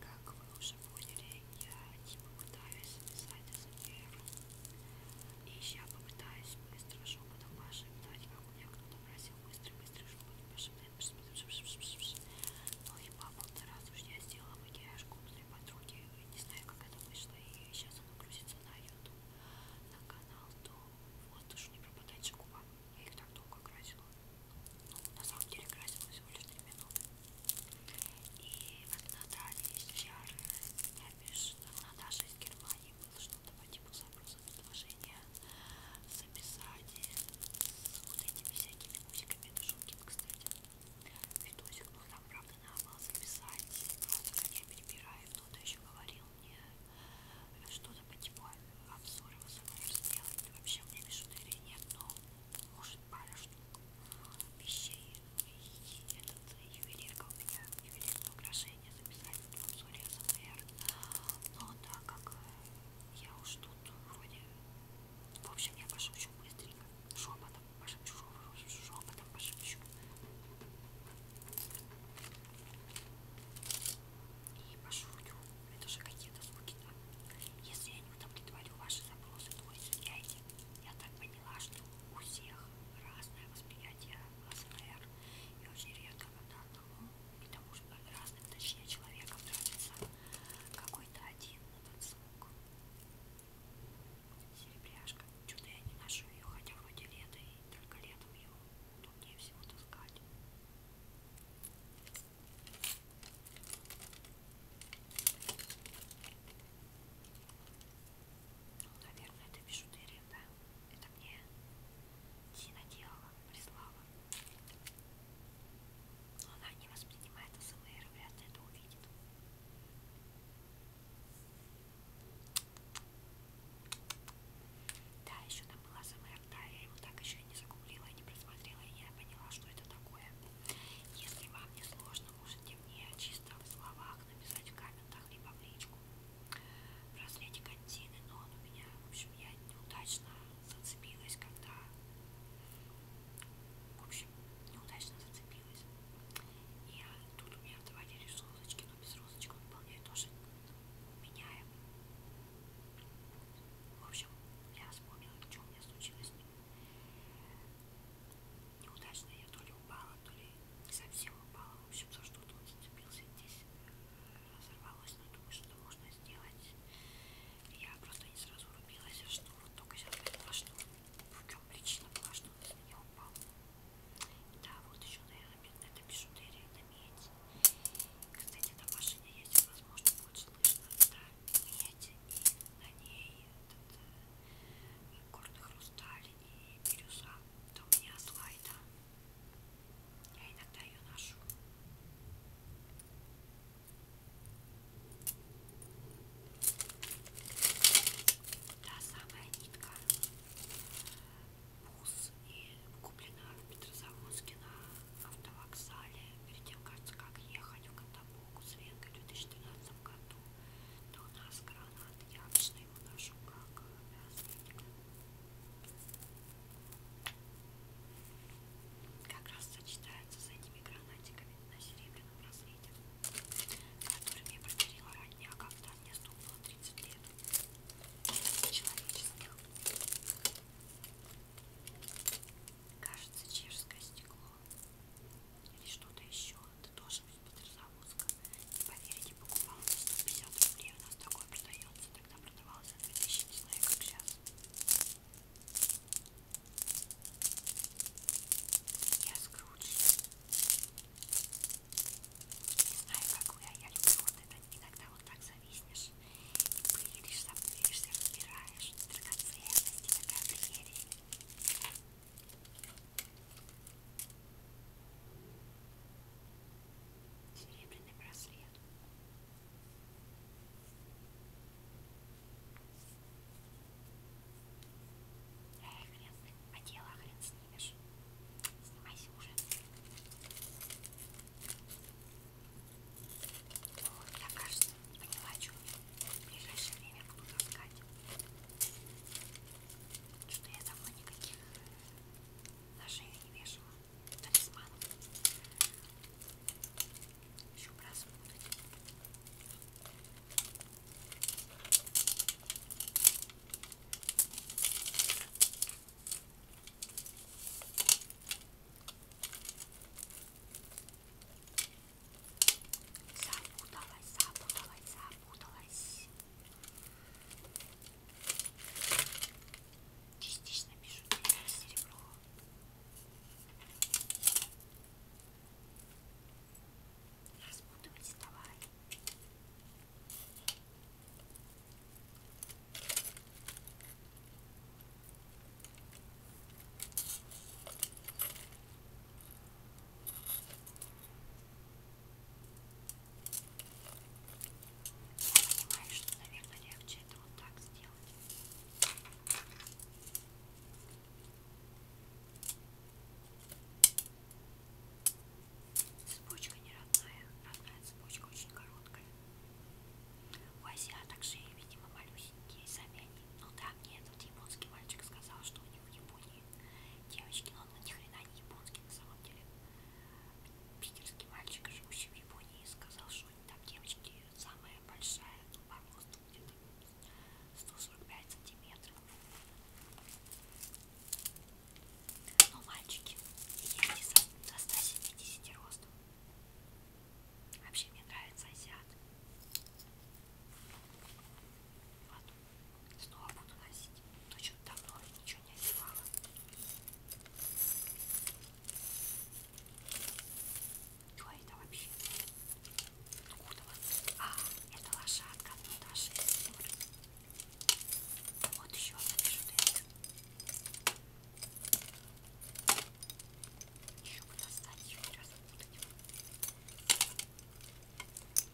Как вы уже поняли, я не попытаюсь писать эзотеру. И я попытаюсь быстро шепотом вашим дать, как у меня кто-то просил быстро-быстро шепотом вашим Ну и по полтора раза уж я сделала макияж для подруги. Не знаю, как это вышло, и сейчас оно грузится на YouTube, на канал, то воздуш не пропадает губа. Я их так долго красила. Ну, на самом деле красила всего лишь 3 минуты. И тогда дали из VR, я пишу, Наташа из Германии было что-то по типу запроса предложения записать с вот этими всякими музыками. Это шутки, кстати. Видосик, ну там правда надо было записать, просто как я перебираю кто-то еще говорил мне э, что-то по типу обзоры возможно сделать. Вообще у меня бижутерии нет, но может пара штук вещей и этот ювелирка у меня, ювелирное украшение записать в обзоре СМР. Но так как э, я уж тут вроде... В общем, я пошепчу быстренько. Шепотом пошепчу, шепотом пошепчу. И пошурю. Это же какие-то звуки, да? Если я не удовлетворю ваши запросы, то извиняйте. Я так поняла, что у всех разное восприятие АСМР. И очень редко, когда одному, и тому же разным, точнее, человеком нравится какой-то один этот звук. Серебряшка. Чудо я не ношу ее, хотя вроде лето, и только летом ее труднее всего таскать. Ну, наверное, это бижутерия, да? Это мне Тина делала, прислала. Но она не воспринимает СМР, вряд ли это увидит. Да, еще там была СМР, да, я его так еще и не загуглила, не просмотрела, и я поняла, что это такое. Если вам не сложно, можете мне чисто в словах написать в комментах, либо в личку. Браслетик контины, но он у меня, в общем, я неудачно зацепилась, когда, в общем, очень неудачно зацепилась. И тут у меня отвалились розочки, но без розочек он вполне тоже меняем. В общем, я вспомнила, что у меня случилось с ним. Неудачно я то ли упала, то ли не совсем упала. В общем, за что-то он зацепился здесь разорвалось, но думаю, что можно сделать. Я просто не сразу рубилась, что вот только сейчас поняла, что Утром причина была, что он с меня упал. Да, вот еще, наверное, это бижутерия, это медь. Кстати, на машине ездит, возможно, будет слышно. Это медь, и на ней этот э, горный хрусталь и бирюза. Это у меня слайда. Я иногда ее ношу. Та самая нитка. Пус и куплена в Петрозаводске на автовокзале. Перед тем, кажется, как ехать в Катабуку с Венгой в 2013 году. Но у нас гранат. Я обычно его ношу как мясник. Как раз сочетается с этими гранатиками на серебряном браслете, который мне подарила родня, когда мне стукнуло 30 лет. Человеческих. Кажется, чешское стекло. Или что-то еще. Ты тоже из Петрозаводска. Не поверите, покупала за 150 рублей. У нас такое продается. Тогда продавалось за 2000, не знаю, как сейчас. Я Скрудж. Не знаю, как вы, а я люблю вот это. Иногда вот так зависнешь и пылишь, запылишься, разбираешь. Драгоценности, такая прелесть. Серебряный браслет. Да, хрен, а дело хрен снимешь. Снимайся уже. Вот, я, кажется, поняла, что в ближайшее время буду таскать. Что я давно никаких э, на шею не вешала. Талисманов еще просмотреть. Запуталась, запуталась, запуталась. Частично пишу серебро. Распутывайте давай. Я понимаю, что, наверное, легче это вот так сделать. Цепочка не родная, родная цепочка очень короткая. У азиаток шеи, видимо, малюсенькие, сами они. Ну да, мне этот японский мальчик сказал, что у него в Японии девочки, но он ни хрена не японский на самом деле. Питерский мальчик, живущий в Японии, сказал, что они там девочки и самая большая зуба ростом где-то 145 сантиметров. Но мальчики есть и до 170 ростом. Вообще мне нравится азиат. Вот. Снова буду носить. То, что давно я ничего не одевала. Кто это вообще? Откуда он? А, это лошадка, ну даже Вот еще одна бижутерия. Еще бы достать, еще раз буду. Ой,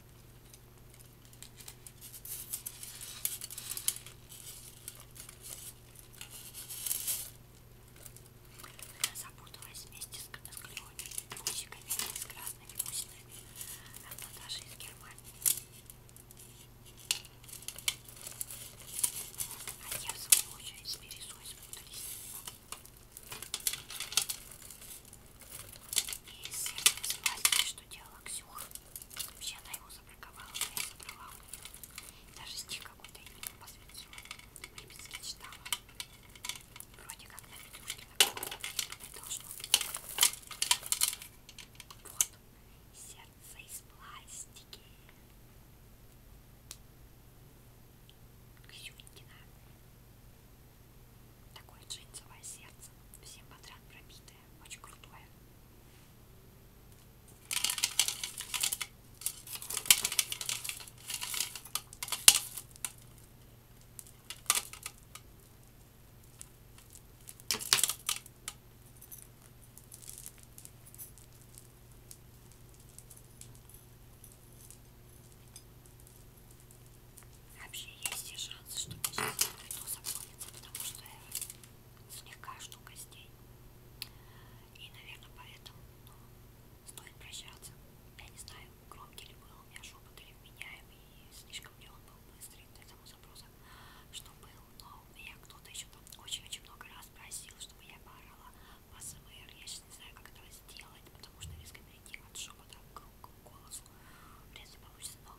запуталась вместе с клеонами, усиками и с красными усиками. Это даже из Германии. А я в свою очередь с березой спутались. И с этим спасибо, что делала Ксюха. Вообще она его забраковала, но я забрала у нее. Даже стих какой-то ему посвятила. Липецки читала. Вроде как на видюшке на не должно быть. Вот. Сердце из пластики. Ксюнькина. Такое джинсовое сердце. Всем подряд пробитое. Очень крутое. Вообще есть шанс, что мне сейчас это вино запомнится, потому что я слегка что костей. И, наверное, поэтому ну, стоит прощаться. Я не знаю, громкий ли был у меня шепот или вменяемый, и слишком ли он был быстрый для того запроса, что был. Но меня кто-то еще там очень-очень много раз просил, чтобы я поорала по СМР. Я сейчас не знаю, как этого сделать, потому что резко перейти от шепота к голосу вряд ли получится, но...